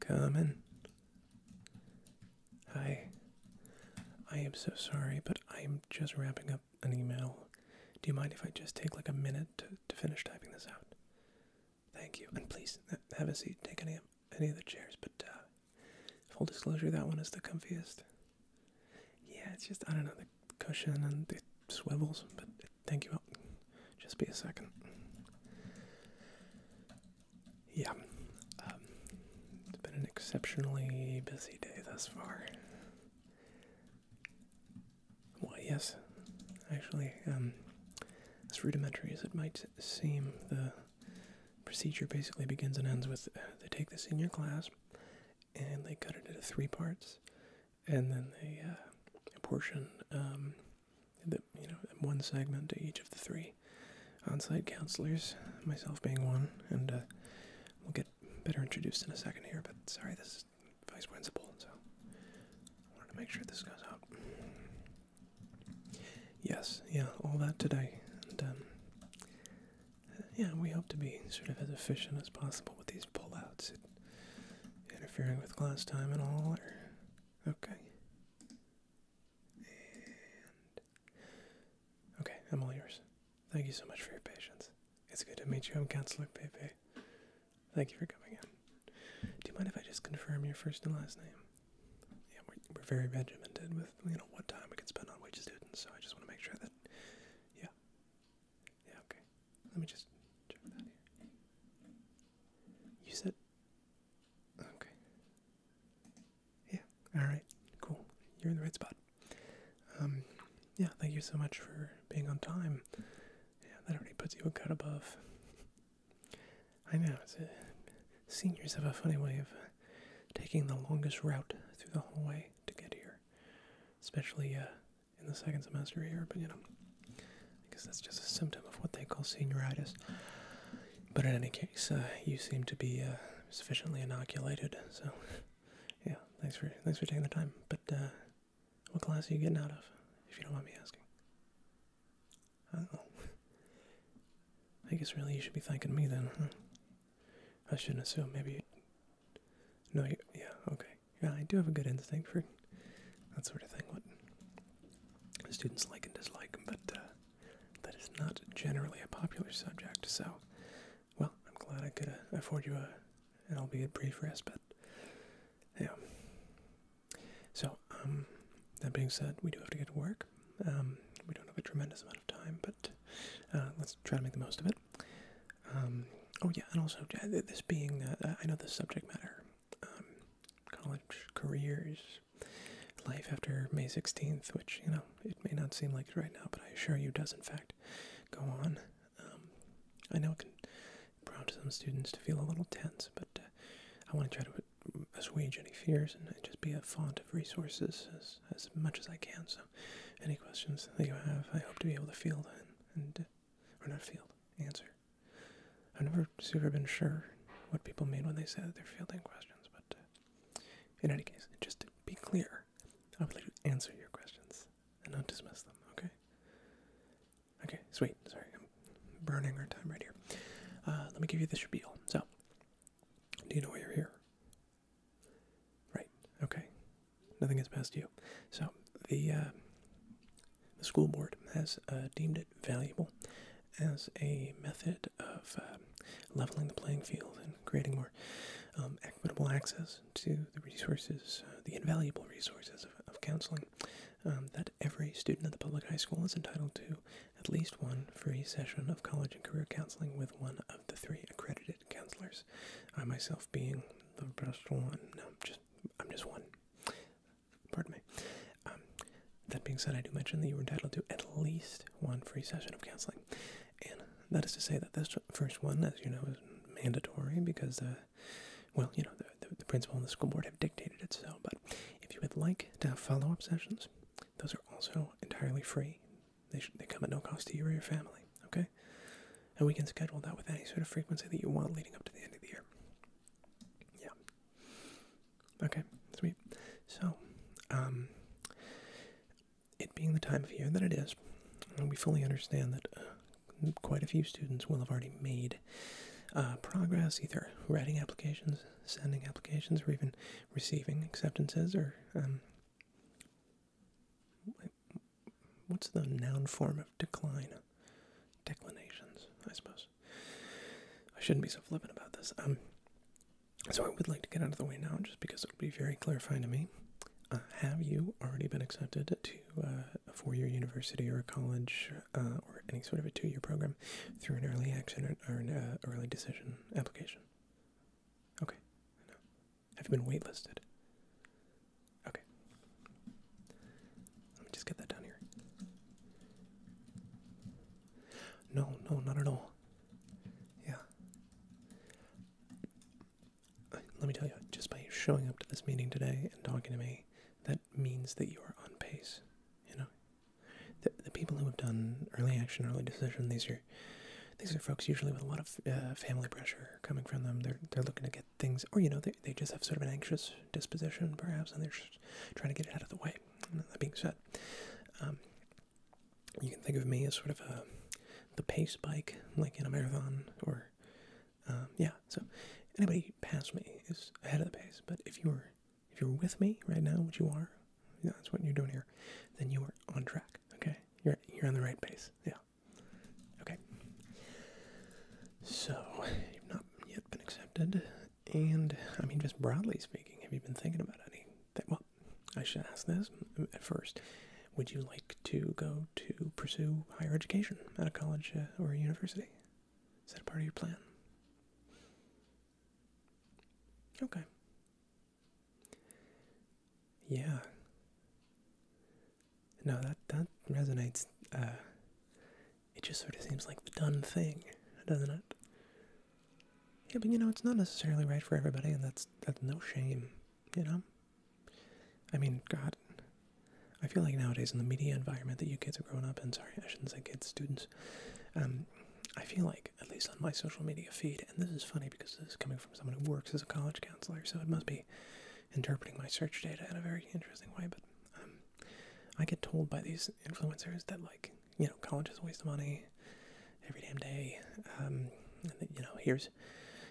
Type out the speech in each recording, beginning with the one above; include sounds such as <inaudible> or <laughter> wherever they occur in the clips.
Common. Hi. I am so sorry, but I am just wrapping up an email. Do you mind if I just take like a minute to, finish typing this out? Thank you. And please have a seat. Take any, any of the chairs, but uh, full disclosure, that one is the comfiest. Yeah, it's just I don't know the cushion and it swivels, but thank you. Just be a second. Yeah, um, it's been an exceptionally busy day thus far. Well, yes, actually, um, as rudimentary as it might seem, the procedure basically begins and ends with uh, they take this in your class and they cut it into three parts and then they uh, apportion um, the you know one segment to each of the three on-site counselors, myself being one, and uh, we'll get better introduced in a second here. But sorry, this is vice principal, so I wanted to make sure this goes out. Yes, yeah, all that today, and um, yeah, we hope to be sort of as efficient as possible with these pullouts, interfering with class time and all. okay. And okay, I'm all yours. Thank you so much for your patience. It's good to meet you. I'm Counselor Pepe. Thank you for coming in. Do you mind if I just confirm your first and last name? Yeah, we're, very regimented with you know what time we can spend on wages, students, so I just want to make sure that yeah, yeah, okay. Let me just check that here. You said. Okay. Yeah, alright, cool. You're in the right spot. Um, yeah, thank you so much for being on time. Yeah, that already puts you a cut above. I know, it's a, seniors have a funny way of taking the longest route through the hallway to get here. Especially uh, in the second semester here, but you know, I guess that's just a symptom of what they call senioritis. But in any case, uh, you seem to be uh, sufficiently inoculated, so yeah, thanks for thanks for taking the time. But uh, what class are you getting out of, if you don't mind me asking? I guess really you should be thanking me then. I shouldn't assume. Maybe no, yeah, okay. Yeah, I do have a good instinct for that sort of thing. What students like and dislike, but uh, that is not generally a popular subject. So, well, I'm glad I could afford you a, and will be a brief respite. yeah. So, um, that being said, we do have to get to work. Um, we don't have a tremendous amount of time, but uh, let's try to make the most of it. Um, oh yeah, and also this being uh, uh, I know the subject matter, um, college careers, life after May sixteenth, which you know it may not seem like it right now, but I assure you does in fact go on. Um, I know it can prompt some students to feel a little tense, but uh, I want to try to assuage any fears and just be a font of resources as as much as I can. So any questions that you have, I hope to be able to field and, and or not field, answer. I've never super been sure what people mean when they say that they're fielding questions, but uh, in any case, just to be clear, I would like to answer your questions and not dismiss them, okay? Okay, sweet. Sorry, I'm burning our time right here. Uh, let me give you the spiel. So, do you know why you're here? Right. Okay. Nothing gets past you. So the uh, the school board has uh, deemed it valuable as a method of uh, leveling the playing field and creating more um, equitable access to the resources, the invaluable resources of, counseling, um, that every student at the public high school is entitled to at least one free session of college and career counseling with one of the three accredited counselors. I myself being the first one. No, just I'm just one. Pardon me. Um, that being said, I do mention that you are entitled to at least one free session of counseling, and that is to say that this first one, as you know, is mandatory because, uh, well, you know, the, the principal and the school board have dictated it so. But if you would like to have follow-up sessions, those are also entirely free. They, they come at no cost to you or your family, okay? And we can schedule that with any sort of frequency that you want leading up to the end of the year. Yeah. Okay, sweet. So, um, it being the time of year that it is, we fully understand that uh, quite a few students will have already made uh, progress, either writing applications, sending applications, or even receiving acceptances or um, What's the noun form of decline? Declinations, I suppose. I shouldn't be so flippant about this. Um, so I would like to get out of the way now, just because it would be very clarifying to me. Uh, have you already been accepted to uh, a four-year university or a college uh, or any sort of a two-year program through an early action or an early decision application? Okay, have you been waitlisted? Okay. Let me just get that down here. No, no, not at all. Yeah. Let me tell you, just by showing up to this meeting today and talking to me, that means that you are on pace. You know, the, the people who have done early action, early decision, these years these are folks usually with a lot of uh, family pressure coming from them. They're they're looking to get things, or you know, they they just have sort of an anxious disposition, perhaps, and they're just trying to get it out of the way. that being said, um, you can think of me as sort of a uh, the pace bike, like in a marathon, or um, yeah. So anybody past me is ahead of the pace. But if you're if you're with me right now, which you are, yeah, that's what you're doing here, then you are on track. Okay, you're you're on the right pace. Yeah. Okay. So, you've not yet been accepted. And, I mean, just broadly speaking, have you been thinking about any? Well, I should ask this at first. Would you like to go to pursue higher education at a college uh, or a university? Is that a part of your plan? Okay. Yeah. No, that that resonates. Uh, it just sort of seems like the done thing, doesn't it? Yeah, but you know, it's not necessarily right for everybody, and that's that's no shame, you know. I mean, God, I feel like nowadays in the media environment that you kids are growing up in, sorry, I shouldn't say kids, students, um, I feel like, at least on my social media feed, and this is funny because this is coming from someone who works as a college counselor, so it must be interpreting my search data in a very interesting way. But um, I get told by these influencers that, like, you know, college is a waste of money every damn day. Um, you know, here's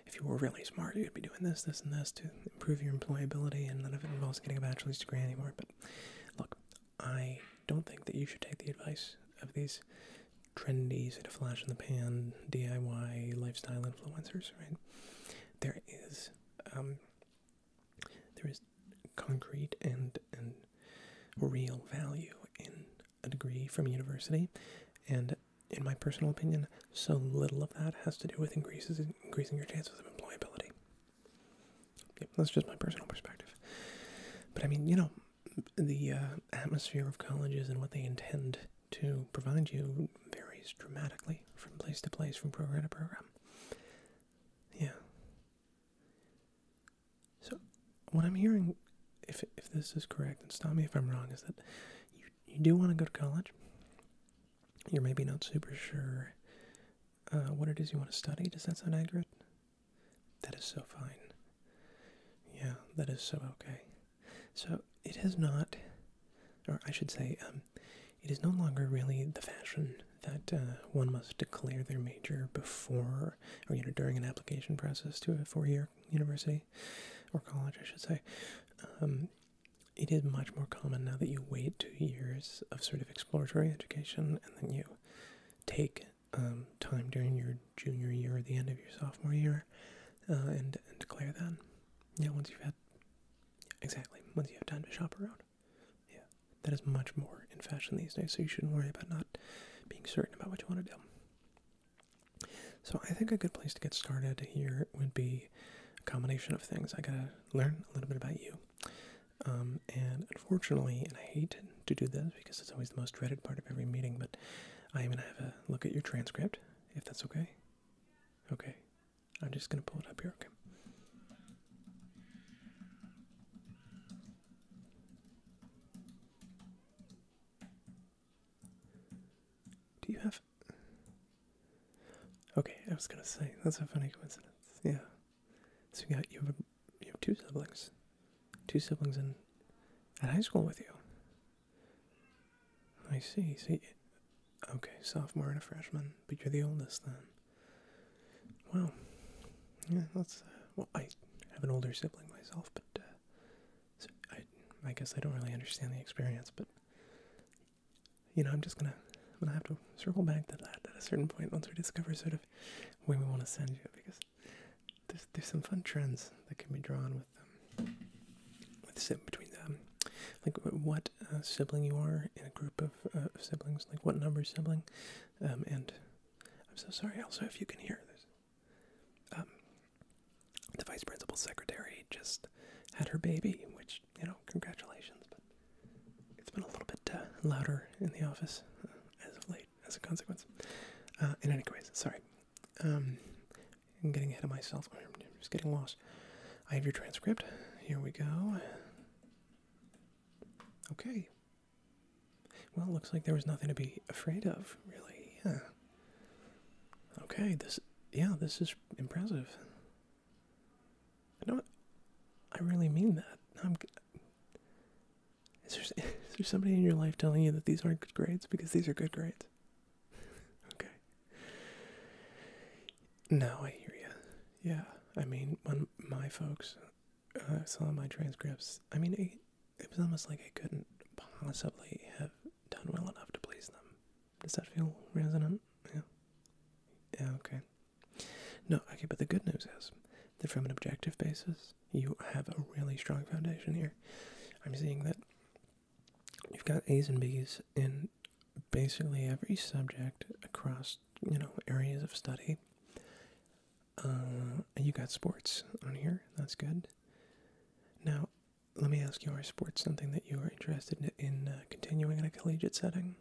if you were really smart, you'd be doing this, this, and this to improve your employability, and none of it involves getting a bachelor's degree anymore. But look, I don't think that you should take the advice of these trendy, sort of flash in the pan, DIY lifestyle influencers, right? There is um, there is concrete and and real value in a degree from university, and in my personal opinion, so little of that has to do with increases increasing your chances of employability. that's just my personal perspective. But I mean, you know, the uh, atmosphere of colleges and what they intend to provide you varies dramatically from place to place, from program to program. Yeah. So, what I'm hearing, if if this is correct, and stop me if I'm wrong, is that you you do want to go to college. You're maybe not super sure uh, what it is you want to study. Does that sound accurate? That is so fine. Yeah, that is so okay. So it has not, or I should say, um, it is no longer really the fashion that uh, one must declare their major before or you know during an application process to a four-year university or college, I should say. Um, it is much more common now that you wait two years of sort of exploratory education and then you take um, time during your junior year or the end of your sophomore year, uh, and, and declare that. Yeah, once you've had exactly once you have time to shop around. Yeah, that is much more in fashion these days, so you shouldn't worry about not being certain about what you want to do. So I think a good place to get started here would be a combination of things. I gotta learn a little bit about you. Um, and unfortunately, and I hate to do this because it's always the most dreaded part of every meeting, but I am going to have a look at your transcript, if that's okay. Okay, I'm just going to pull it up here, okay? Do you have. Okay, I was gonna say, that's a funny coincidence. Yeah. So you have, you have two siblings. Two siblings in at high school with you. I see. See, okay, sophomore and a freshman, but you're the oldest then. Well, Yeah, that's. Uh, well, I have an older sibling myself, but uh, I, I guess I don't really understand the experience. But you know, I'm just gonna, I'm gonna have to circle back to that at a certain point once we discover sort of where we want to send you because there's, some fun trends that can be drawn with them. With sit between them, like what uh, sibling you are in a group of uh, siblings, like what number sibling, um, and I'm so sorry. Also, if you can hear this, um, the vice principal secretary just had her baby, which you know, congratulations, but it's been a little bit uh, louder in the office as of late as a consequence. in any case, sorry. Um, I'm getting ahead of myself. I'm just getting lost. I have your transcript. Here we go. Okay. Well, looks like there was nothing to be afraid of, really. Yeah. Okay, this yeah, this is impressive. I don't I really mean that. I'm is there, <laughs> is there somebody in your life telling you that these aren't good grades? Because these are good grades. <laughs> okay. No, I hear you. Yeah, I mean, when my folks uh, saw my transcripts, I mean, it, it was almost like I couldn't possibly have done well enough to please them. Does that feel resonant? Yeah. Yeah, okay. No, okay, but the good news is that from an objective basis, you have a really strong foundation here. I'm seeing that you've got A's and B's in basically every subject across, you know, areas of study. Uh, you got sports on here. That's good. Now, let me ask you, are sports something that you are interested in uh, continuing in a collegiate setting?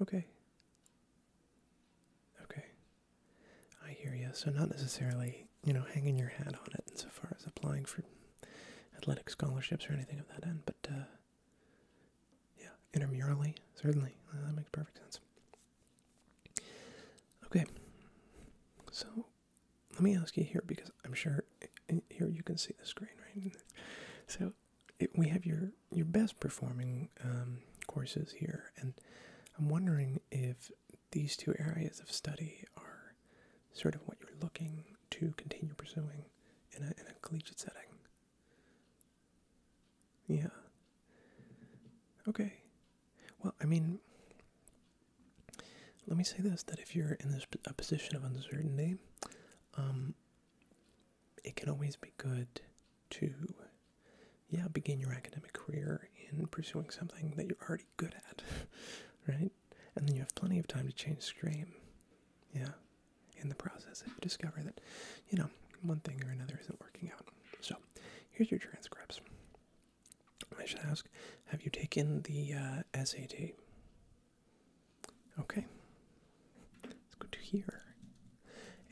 Okay. Okay. I hear you. So not necessarily, you know, hanging your hat on it insofar as applying for athletic scholarships or anything of that end, but uh, yeah, intermurally, certainly. Uh, that makes perfect sense. Okay, so let me ask you here because I'm sure eh, here you can see the screen, right? So eh, we have your your best performing um, courses here, and I'm wondering if these two areas of study are sort of what you're looking to continue pursuing in a, in a collegiate setting. Yeah. Okay. Well, I mean, let me say this that if you're in this a position of uncertainty, um, it can always be good to yeah, begin your academic career in pursuing something that you're already good at, <laughs> right? And then you have plenty of time to change stream. Yeah, in the process, if you discover that, you know, one thing or another isn't working out. So, here's your transcripts. I should ask, have you taken the uh, SAT? Okay, it's good to hear.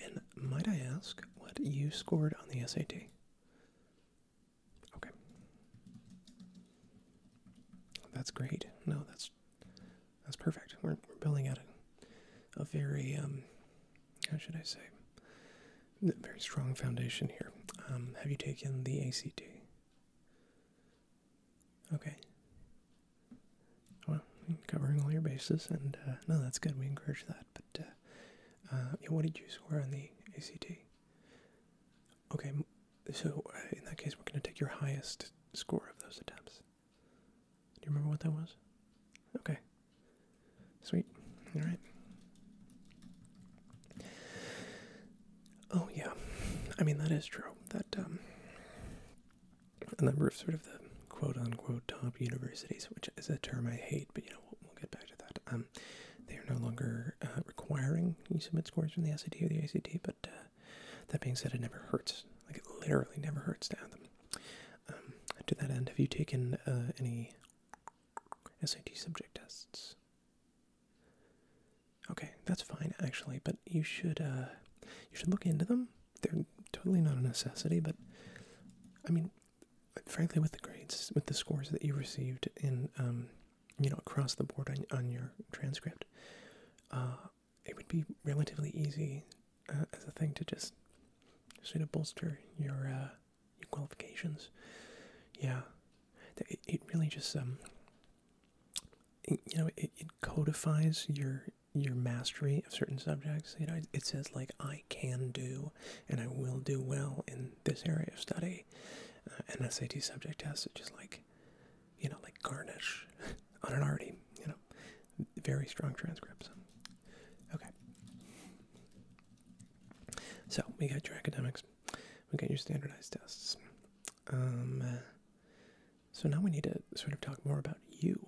And might I ask what you scored on the SAT? Okay. That's great. No, that's that's perfect. We're building at a, a very um how should I say very strong foundation here. Um, have you taken the ACT? Okay. Well, covering all your bases, and uh, no, that's good. We encourage that. Uh, uh, what did you score on the ACT? Okay, so uh, in that case, we're going to take your highest score of those attempts. Do you remember what that was? Okay. Sweet. All right. Oh yeah, I mean that is true. That um, a number of sort of the quote-unquote top universities, which is a term I hate, but we'll, get back to that. Um, they are no longer uh, requiring you submit scores from the SAT or the ACT, but uh, that being said, it never hurts. Like it literally never hurts to have them. Um, to that end, have you taken uh, any SAT subject tests? Okay, that's fine actually, but you should you should look into them. They're totally not a necessity, but I mean, frankly with the grades, with the scores that you received in, um, you know, across the board on, on your transcript, uh, it would be relatively easy uh, as a thing to just sort of bolster your, uh, your qualifications. Yeah, it, it really just um, you know, it, it codifies your your mastery of certain subjects. You know, it, it says like I can do and I will do well in this area of study, uh, and SAT subject tests, is just like, you know, like garnish <laughs> on an already, you know, very strong transcripts. Okay. So we got your academics, we got your standardized tests. Um, so now we need to sort of talk more about you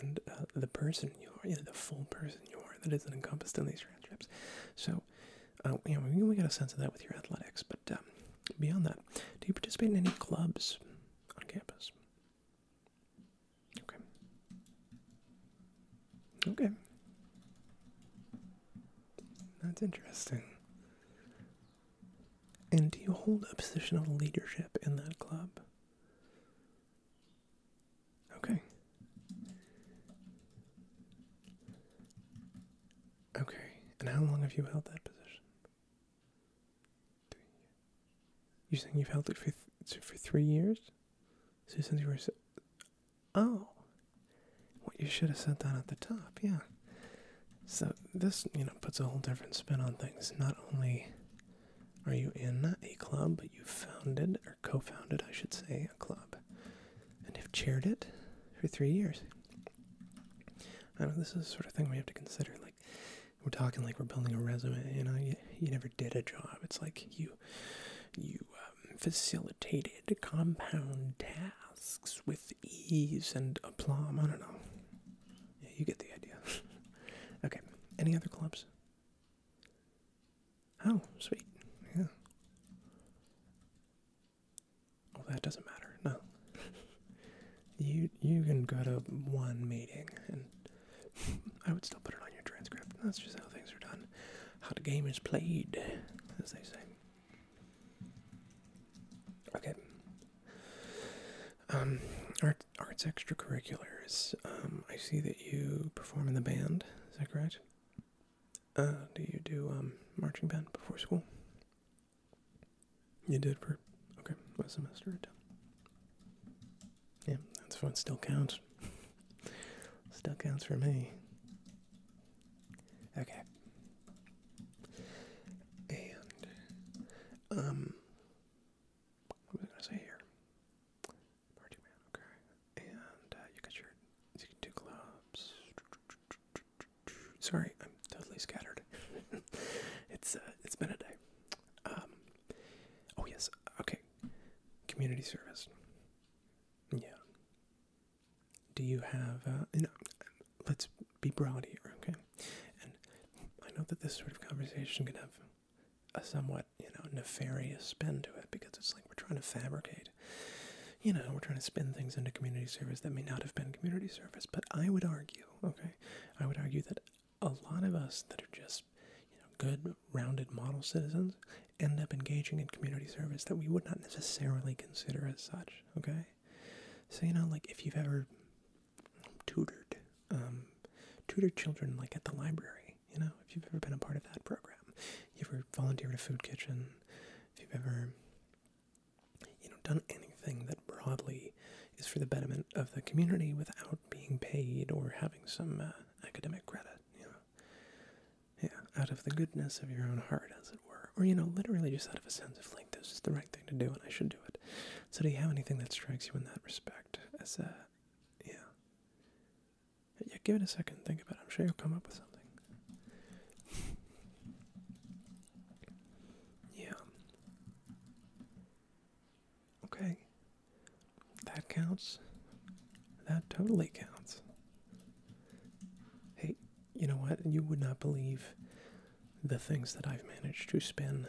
and uh, the person you are, you know, the full person you are that is encompassed in these transcripts. So Oh, we, we got a sense of that with your athletics. But um, beyond that, do you participate in any clubs on campus? Okay. Okay. That's interesting. And do you hold a position of leadership in that club? Okay. Okay. And how long have you held that position? you You're saying you've held it for for three years? since you were oh, what you should have said that at the top, yeah. So this, you know, puts a whole different spin on things. Not only are you in a club, but you founded or co-founded, I should say, a club and have chaired it for three years. I know this is the sort of thing we have to consider. Like, we're talking like we're building a resume. You know, you, you never did a job. It's like you you um, facilitated compound tasks with ease and aplomb. I don't know. Yeah, you get the idea. <laughs> okay. Any other clubs? Oh, sweet. Yeah. Well, that doesn't matter. No. <laughs> you you can go to one meeting, and <laughs> I would still put it on your transcript. That's just how things are done. How the game is played, as they say. Okay. Um, art, arts extracurriculars. Um, I see that you perform in the band. Is that correct? Uh, do you do um, marching band before school? You did for okay, last semester Yeah, that's fun. Still counts. <laughs> Still counts for me. Okay. And um, what was I gonna say here? Marching band, okay. And uh, you got your, you can do gloves. Sorry, I'm totally scattered. <laughs> it's uh, it's been a day. Um, oh yes, okay. Community service. Yeah. Do you have? Uh, you uh, let's be broad here, okay? And I know that this sort of conversation can have a somewhat you know, nefarious spin to it because it's like we're trying to fabricate. You know, we're trying to spin things into community service that may not have been community service. But I would argue, okay, I would argue that a lot of us that are just, you know, good, rounded model citizens end up engaging in community service that we would not necessarily consider as such, okay? So, you know, like if you've ever tutored, um, tutored children like at the library you know, if you've ever been a part of that program, if you have ever volunteered at a food kitchen, if you've ever, you know, done anything that broadly is for the betterment of the community without being paid or having some uh, academic credit, you know, yeah, out of the goodness of your own heart, as it were, or you know, literally just out of a sense of like this is the right thing to do and I should do it. So, do you have anything that strikes you in that respect as a, yeah, yeah, give it a second, think about it. I'm sure you'll come up with something. Yeah. Okay. That counts. That totally counts. Hey, you know what? You would not believe the things that I've managed to spin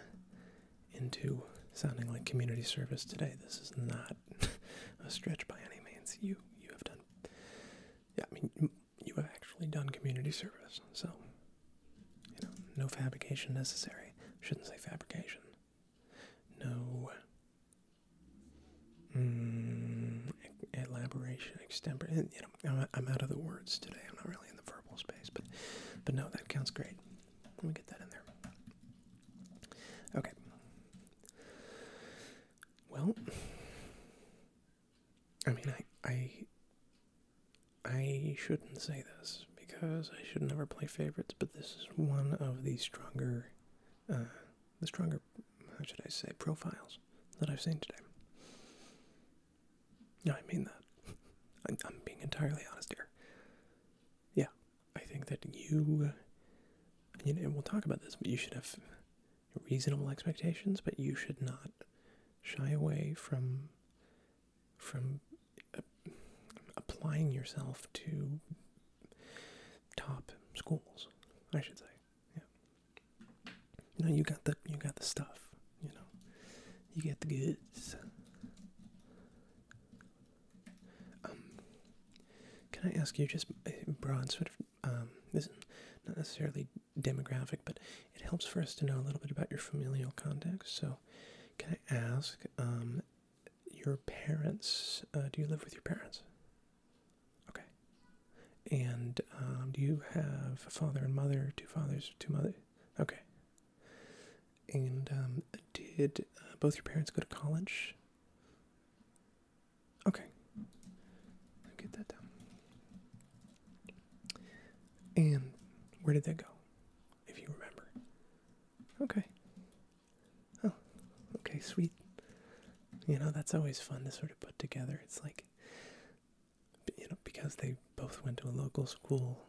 into sounding like community service today. This is not a stretch by any means. You you have done, yeah, I mean, you have actually done community service. So, you know, no fabrication necessary. Shouldn't say fabrication. No mm, elaboration, extemper. You know, I'm, I'm out of the words today. I'm not really in the verbal space, but but no, that counts great. Let me get that in there. Okay, well, I mean, I, I, I shouldn't say this because I should never play favorites, but this is one of the stronger, uh, the stronger, how should I say, profiles that I've seen today. No, I mean that. <laughs> I'm, I'm being entirely honest here. Yeah, I think that you, you know, we'll talk about this, but you should have reasonable expectations, but you should not shy away from from uh, applying yourself to top schools, I should say. Yeah. You know, you got the you got the stuff. You know, you get the goods. Um, can I ask you just a broad sort of um, this is not necessarily demographic, but it helps for us to know a little bit about your familial context. So, can I ask um, your parents? Uh, do you live with your parents? Okay. And do you have a father and mother? Two fathers, two mothers? Okay. And did uh, both your parents go to college? Okay. get that down. And where did they go? If you remember. Okay. Oh, okay, sweet. You know, that's always fun to sort of put together. It's like, you know, because they both went to a local school,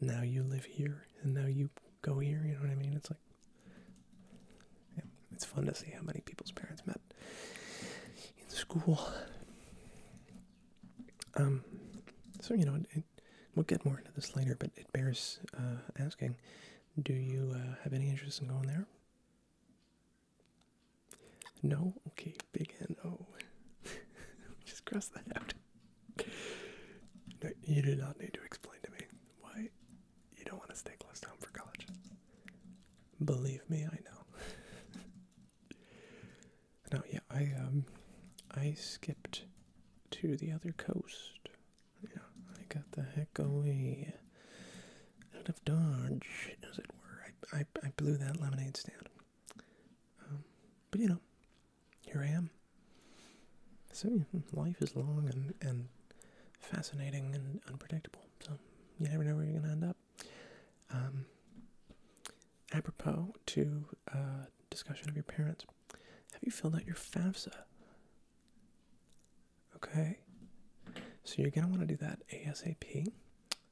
now you live here and now you go here, you know what I mean? It's like, yeah, it's fun to see how many people's parents met in school. Um, so you know, we'll get more into this later, but it bears uh, asking: Do you uh, have any interest in going there? No. Okay, big no. <laughs> Just cross that out. you do not need to explain to me why you don't want to stay close to home for college. Believe me, I know. <laughs> no, yeah, I um, I skipped to the other coast. Yeah, I got the heck away out of Dodge, as it were. I I, I blew that lemonade stand. Um, but you know, here I am. So life is long and and fascinating and unpredictable. So you never know where you're gonna end up. Um, apropos to uh, discussion of your parents, have you filled out your FAFSA? Okay, so you're gonna want to do that ASAP.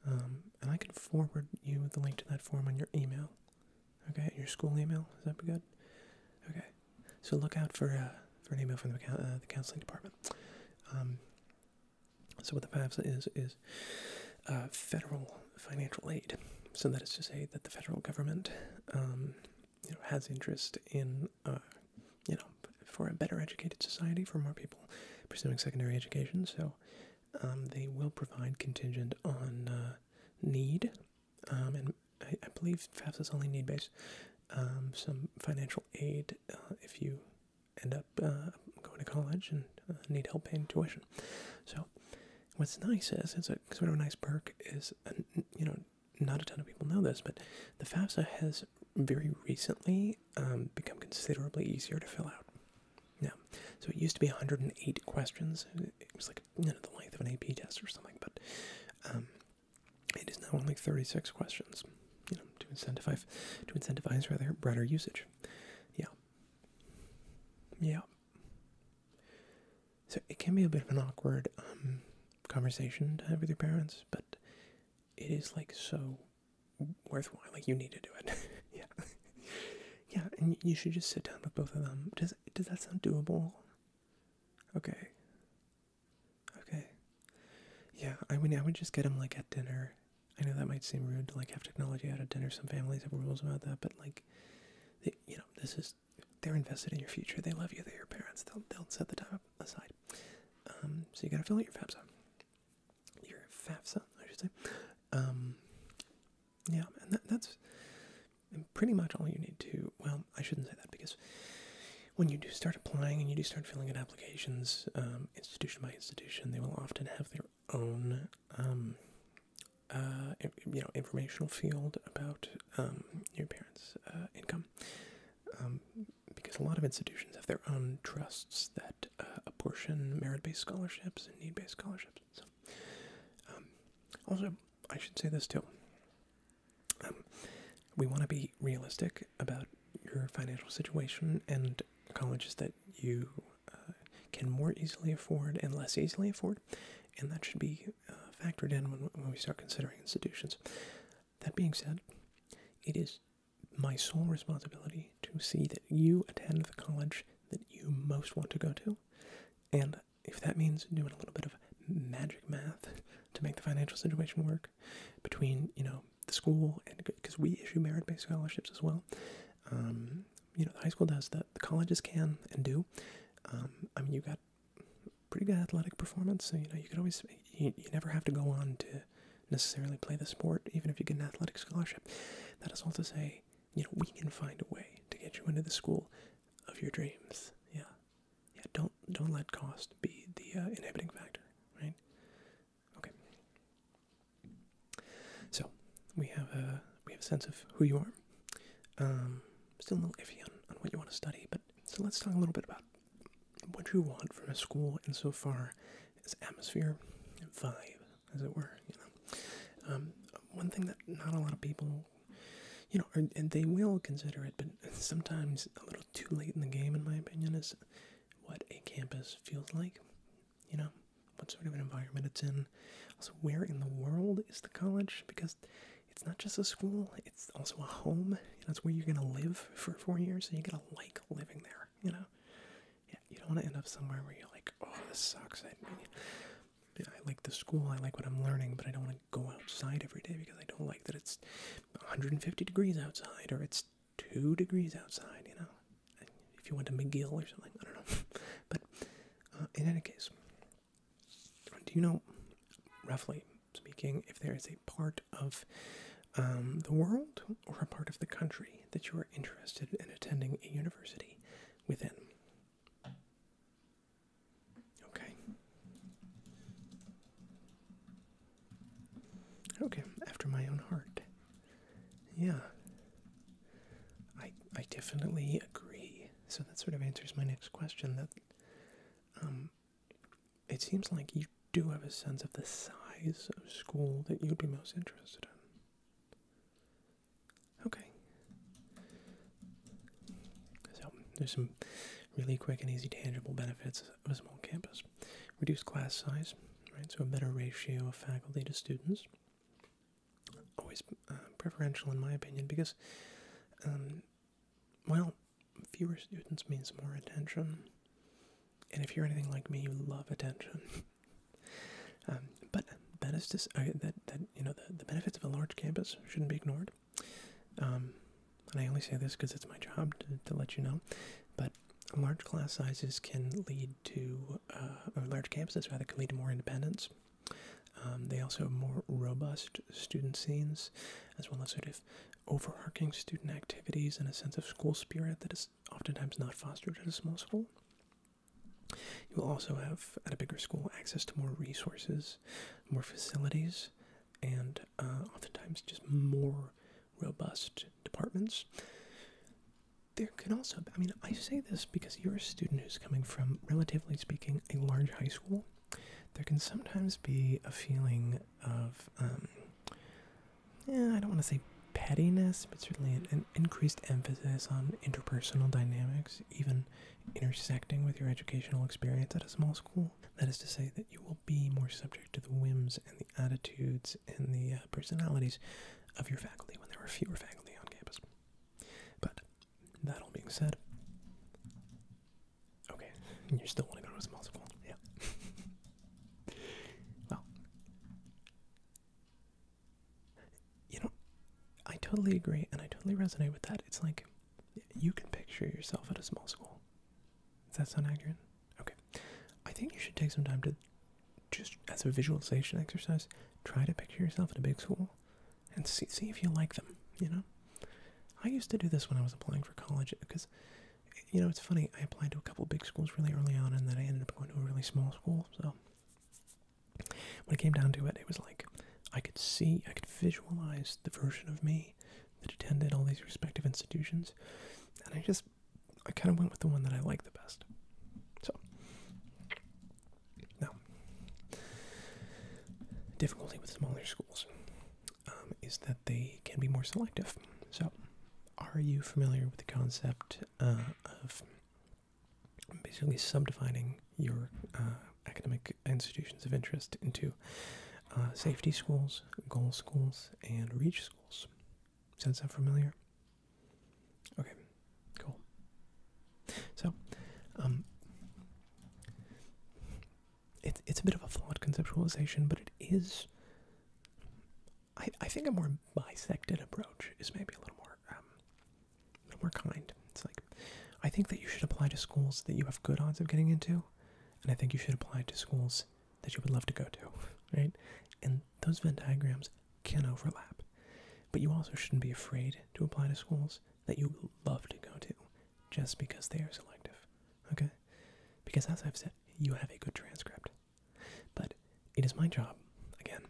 Um, and I can forward you the link to that form on your email. Okay, your school email. Is that good? Okay, so look out for uh, for an email from the, uh, the counseling department. Um, so what the FAFSA is is uh, federal financial aid. So that is to say that the federal government, um, you know, has interest in, you know, for a better educated society for more people pursuing secondary education. So um, they will provide contingent on need um, and I, I believe FAFSAs only need based. Um, some financial aid uh, if you end up uh, going to college and uh, need help paying tuition. So, what's nice is it's a sort of a nice perk is you know not a ton of people know this, but the FAFSA has very recently um, become considerably easier to fill out. Now, so it used to be 108 questions. It was like you know the length of an AP test or something, but it is now only 36 questions, you know, to incentivize, to incentivize rather broader usage. Yeah. Yeah. So it can be a bit of an awkward um, conversation to have with your parents, but it is like so worthwhile. Like you need to do it. <laughs> yeah. <laughs> yeah, and you should just sit down with both of them. Does does that sound doable? Okay. Okay. Yeah, I mean, I would just get them like at dinner. I know that might seem rude to like have technology at a dinner. Some families have rules about that, but like, you know, this is they're invested in your future. They love you. They're your parents. They'll they'll set the time aside. Um, so you gotta fill out your FAFSA. Your FAFSA, I should say. Um, yeah, and that's and pretty much all you need to well i shouldn't say that because when you do start applying and you do start filling in applications um, institution by institution they will often have their own um, uh, you know informational field about um, your parents uh, income because a lot of institutions have their own trusts that uh, apportion merit-based scholarships and need-based scholarships also i should say this too um, we want to be realistic about your financial situation and colleges that you uh, can more easily afford and less easily afford, and that should be uh, factored in when we start considering institutions. That being said, it is my sole responsibility to see that you attend the college that you most want to go to, and if that means doing a little bit of magic math to make the financial situation work between you know the school and because we issue merit-based scholarships as well um, you know the high school does that the colleges can and do um, i mean you got pretty good athletic performance so you know you could always you never have to go on to necessarily play the sport even if you get an athletic scholarship that is all to say you know we can find a way to get you into the school of your dreams yeah yeah, don't don't let cost be the uh, inhibiting factor, right? Okay. So we have a we have a sense of who you are. Um, still a little iffy on, on what you want to study, but so let's talk a little bit about what you want from a school insofar as atmosphere, vibe, as it were. You know, um, one thing that not a lot of people you know, and, they will consider it, but <laughs> sometimes a little too late in the game, in my opinion, is what a campus feels like. You know, what sort of an environment it's in. Also, where in the world is the college? Because it's not just a school, it's also a home. That's where you're going to live for four years, and so you got to like living there, you know? Yeah, you don't want to end up somewhere where you're like, oh, this sucks. I like the school, I like what I'm learning, but I don't want to go outside every day because I don't like that it's 150 degrees outside or it's two degrees outside, you know. If you went to McGill or something, I don't know. <laughs> but uh, in any case, do you know, roughly speaking, if there is a part of um, the world or a part of the country that you are interested in attending a university within? Okay. Okay, after my own heart. Yeah. I I definitely agree. So that sort of answers my next question that um it seems like you do have a sense of the size of school that you'd be most interested in. Okay. So, um, there's some really quick and easy tangible benefits of a small campus. Reduced class size, right? So, a better ratio of faculty to students. Always uh, preferential, in my opinion, because, um, well, fewer students means more attention. And if you're anything like me, you love attention. <laughs> Um, but that is just uh, that that you know the benefits of a large campus shouldn't be ignored. Um, and I only say this because it's my job to, let you know, but large class sizes can lead to, uh, large campuses rather, can lead to more independence. Um, they also have more robust student scenes, as well as sort of overarching student activities and a sense of school spirit that is oftentimes not fostered at a small school. You will also have, at a bigger school, access to more resources more facilities, and uh, oftentimes just more robust departments. There can also, I mean, I say this because you're a student who's coming from, relatively speaking, a large high school. There can sometimes be a feeling of, um, I don't want to say pettiness, but certainly an increased emphasis on interpersonal dynamics, even intersecting with your educational experience at a small school. That is to say, that you will be more subject to the whims and the attitudes and the uh, personalities of your faculty when there are fewer faculty on campus. But that all being said, okay, <laughs> you still want to go to a small school, yeah. <laughs> well, you know, I totally agree and I totally resonate with that. It's like you can picture yourself at a small school. Does that sound accurate? Okay. I think you should take some time to, just as a visualization exercise, try to picture yourself at a big school and see, see if you like them, you know? I used to do this when I was applying for college because, you know, it's funny. I applied to a couple big schools really early on and then I ended up going to a really small school, so when it came down to it, it was like I could see, I could visualize the version of me that attended all these respective institutions, and I just, I kind of went with the one that I liked the best. So, now, difficulty with smaller schools um, is that they can be more selective. So, are you familiar with the concept uh, of basically subdefining your uh, academic institutions of interest into uh, safety schools, goal schools, and reach schools. Sounds unfamiliar. Okay, cool. So, um, it's it's a bit of a flawed conceptualization, but it is. I I think a more bisected approach is maybe a little more um, we're kind. It's like, I think that you should apply to schools that you have good odds of getting into, and I think you should apply to schools that you would love to go to, right? And those Venn diagrams can overlap. But you also shouldn't be afraid to apply to schools that you love to go to just because they are selective, okay? Because as I've said, you have a good transcript. But it is my job, again,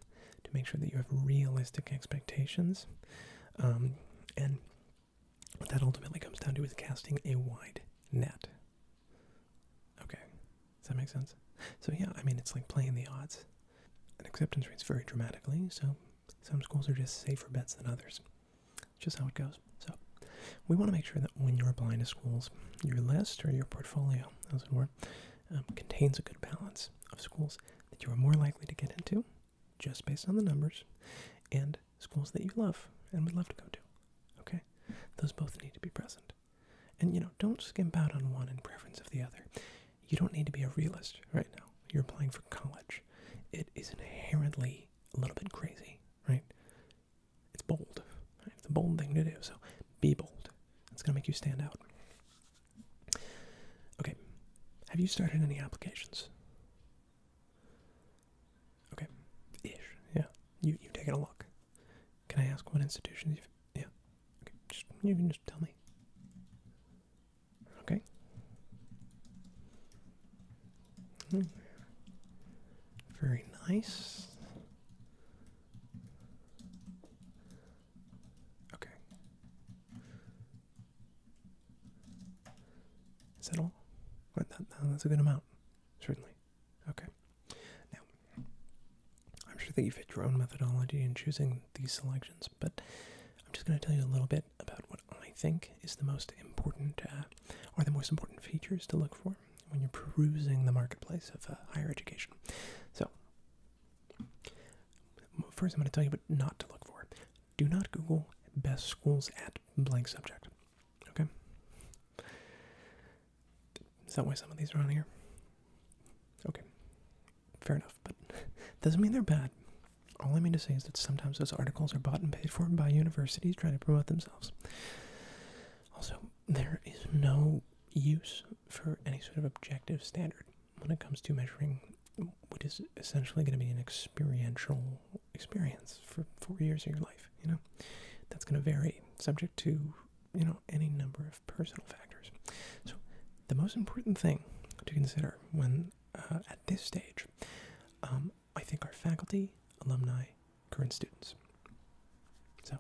to make sure that you have realistic expectations um, and what that ultimately comes down to is casting a wide net. Okay, does that make sense? So, yeah, I mean, it's like playing the odds. And acceptance rates vary dramatically, so some schools are just safer bets than others. Just how it goes. So, we want to make sure that when you're applying to schools, your list or your portfolio, as it were, um, contains a good balance of schools that you are more likely to get into just based on the numbers and schools that you love and would love to go to. Okay? Those both need to be present. And you know, don't skimp out on one in preference of the other. You don't need to be a realist right now. You're applying for college. It is inherently a little bit crazy, right? It's bold. It's a bold thing to do. So be bold. It's going to make you stand out. Okay. Have you started any applications? Okay. Ish. Yeah. You you've taken a look. Can I ask what institutions you've yeah. Okay. you can just tell me. Okay. Hmm. Very nice. Okay. Is that all? that's a good amount, certainly. Okay. Now, I'm sure that you fit your own methodology in choosing these selections, but I'm just going to tell you a little bit about what I think is the most important, uh, or the most important features to look for when you're perusing the marketplace of uh, higher education. So, first I'm going to tell you what not to look for do not Google best schools at blank subject. Okay? Is that why some of these are on here? Okay. Fair enough, but <laughs> doesn't mean they're bad. All I mean to say is that sometimes those articles are bought and paid for by universities trying to promote themselves. Also, there is no use for any sort of objective standard when it comes to measuring what is essentially going to be an experiential experience for four years of your life, you know, that's going to vary subject to, you know, any number of personal factors. So, the most important thing to consider when uh, at this stage, um, I think, our faculty, alumni, current students. So,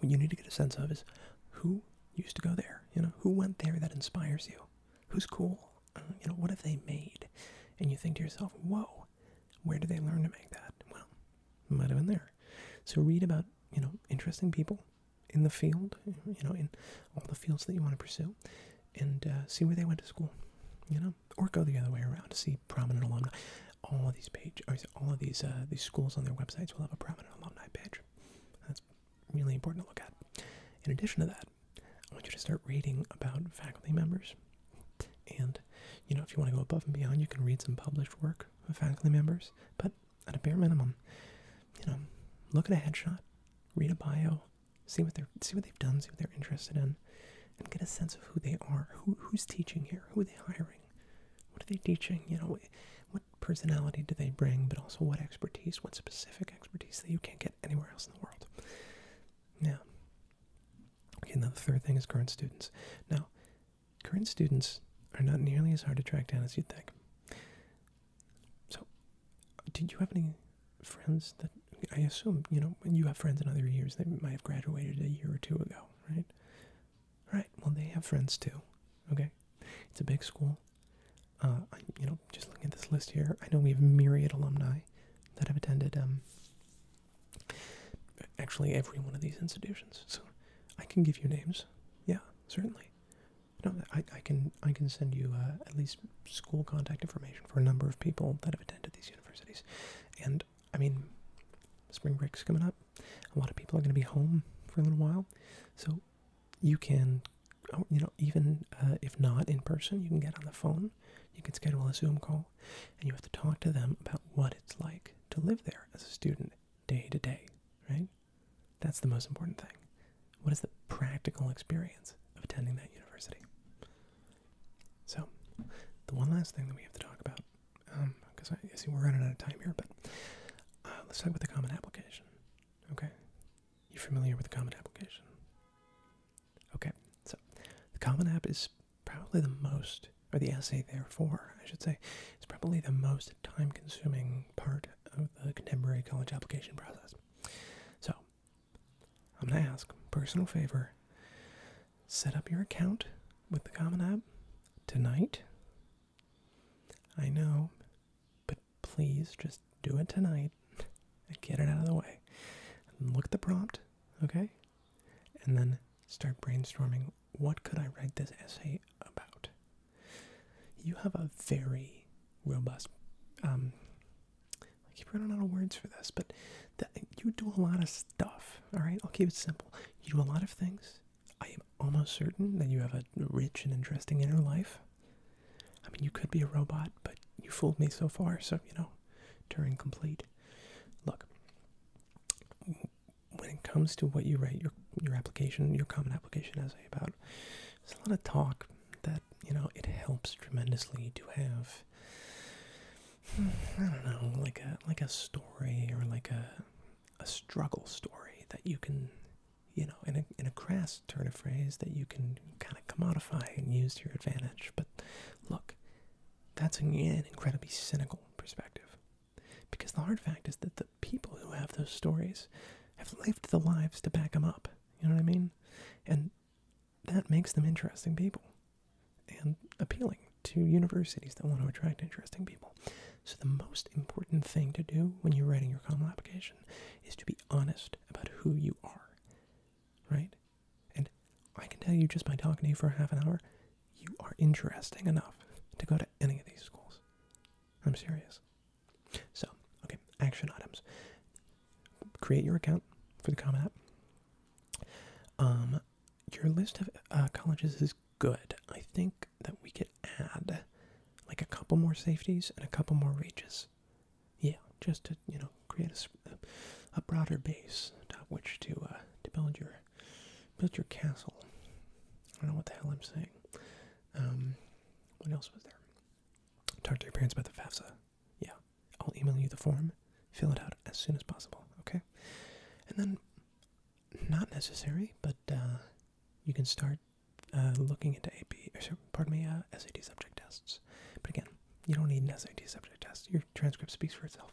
what you need to get a sense of is who used to go there, you know, who went there that inspires you who's cool? Uh, you know, what have they made? And you think to yourself, whoa, where did they learn to make that? Well, it might have been there. So read about, you know, interesting people in the field, you know, in all the fields that you want to pursue, and uh, see where they went to school, you know, or go the other way around to see prominent alumni. All of these page, all of these uh, these schools on their websites will have a prominent alumni page. That's really important to look at. In addition to that, I want you to start reading about faculty members. And, you know, if you want to go above and beyond, you can read some published work of faculty members. But at a bare minimum, you know, look at a headshot, read a bio, see what they see what they've done, see what they're interested in, and get a sense of who they are, who who's teaching here, who are they hiring, what are they teaching, you know, what personality do they bring, but also what expertise, what specific expertise that you can't get anywhere else in the world. Now, okay, now the third thing is current students. Now, current students are not nearly as hard to track down as you'd think. So, did you have any friends that I assume you know you have friends in other years that might have graduated a year or two ago, right? Right. Well, they have friends too. Okay, it's a big school. Uh, you know, just looking at this list here, I know we have myriad alumni that have attended um, actually every one of these institutions. So I can give you names. Yeah, certainly. No, I, can I can send you uh, at least school contact information for a number of people that have attended these universities, and I mean, spring break's coming up. A lot of people are going to be home for a little while, so you can, oh, you know, even uh, if not in person, you can get on the phone. You can schedule a Zoom call, and you have to talk to them about what it's like to live there as a student day to day, right? That's the most important thing. What is the practical experience of attending that university? So, the one last thing that we have to talk about, because um, I see we're running out of time here, but uh, let's talk about the common application. Okay, you're familiar with the Common Application? Okay, so the Common App is probably the most, or the essay, therefore, I should say, is probably the most time consuming part of the contemporary college application process. So, I'm going to ask, personal favor, set up your account with the Common App tonight. I know, but please just do it tonight and get it out of the way. look at the prompt, okay? And then start brainstorming what could I write this essay about? You have a very robust um, I keep running out of words for this, but you do a lot of stuff. All right, I'll keep it simple. You do a lot of things. I am almost certain that you have a rich and interesting inner life. I mean, you could be a robot, but you fooled me so far, so, you know, Turing complete. Look, when it comes to what you write your your application, your common application essay about, there's a lot of talk that, you know, it helps tremendously to have, I don't know, like a, like a story or like a, a struggle story that you can you know, in a in a crass turn of phrase that you can kind of commodify and use to your advantage. But look, that's an incredibly cynical perspective, because the hard fact is that the people who have those stories have lived the lives to back them up. You know what I mean? And that makes them interesting people and appealing to universities that want to attract interesting people. So the most important thing to do when you're writing your COMEL application is to be honest about who you are, right? And I can tell you just by talking to you for half an hour, you are interesting enough to go to any of these schools. I'm serious. So, okay, action items. Create your account for the Common App. Um, your list of uh, colleges is good. I think that we could add like a couple more safeties and a couple more reaches. Yeah, just to you know create a, a broader base atop which to uh, to build your build your castle. I don't know what the hell I'm saying. Um, what else was there? Talk to your parents about the FAFSA. Yeah, I'll email you the form. Fill it out as soon as possible. Okay, and then not necessary, but uh, you can start uh, looking into AP, or pardon me, uh, SAT subject tests. But again, you don't need an SAT subject test. Your transcript speaks for itself.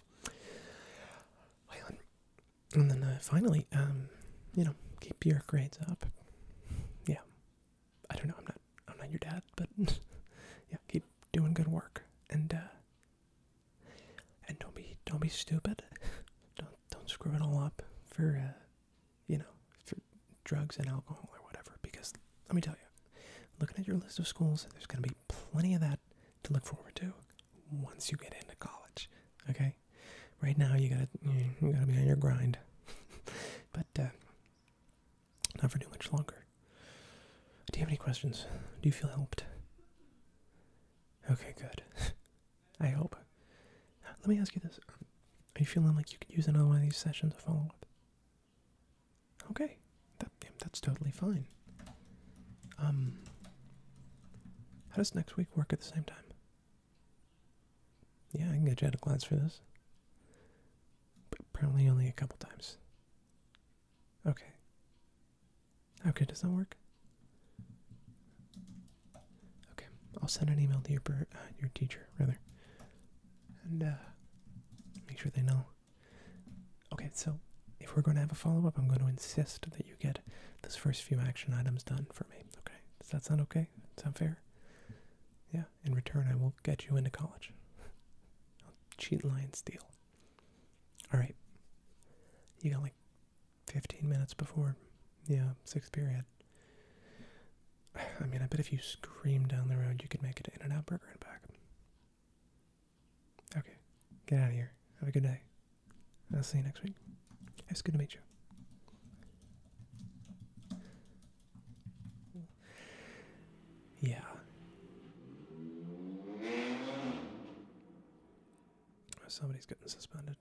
and then uh, finally, um, you know, keep your grades up. Yeah, I don't know. I'm not. I'm not your dad, but <laughs> yeah, keep doing good work and uh, and don't be don't be stupid. <laughs> Don't don't screw it all up for uh, you know, for drugs and alcohol or whatever. Because let me tell you, looking at your list of schools, there's going to be plenty of that to look forward to once you get into college. Okay, right now you gotta you gotta be on your grind, <laughs> but uh, not for too much longer. Do you have any questions? Do you feel helped? Okay, good. <laughs> I hope. Let me ask you this. Are you feeling like you could use another one of these sessions to follow up? Okay. that's totally fine. Um, how does next week work at the same time? Yeah, I can get you out of class for this. But apparently only a couple times. Okay. Okay, does that work? Okay, I'll send an email to your uh, your teacher rather, and uh, make sure they know. Okay, so if we're going to have a follow up, I'm going to insist that you get those first few action items done for me. Okay, does that sound okay? Sound fair? Yeah. In return, I will get you into college. I'll cheat, lie, and steal. All right. You got like 15 minutes before yeah, sixth period. <sighs> I mean, I bet if you scream down the road, you could make it to in and out Burger and back. Okay, get out of here. Have a good day. I'll see you next week. It's good to meet you. Yeah. Somebody's getting suspended.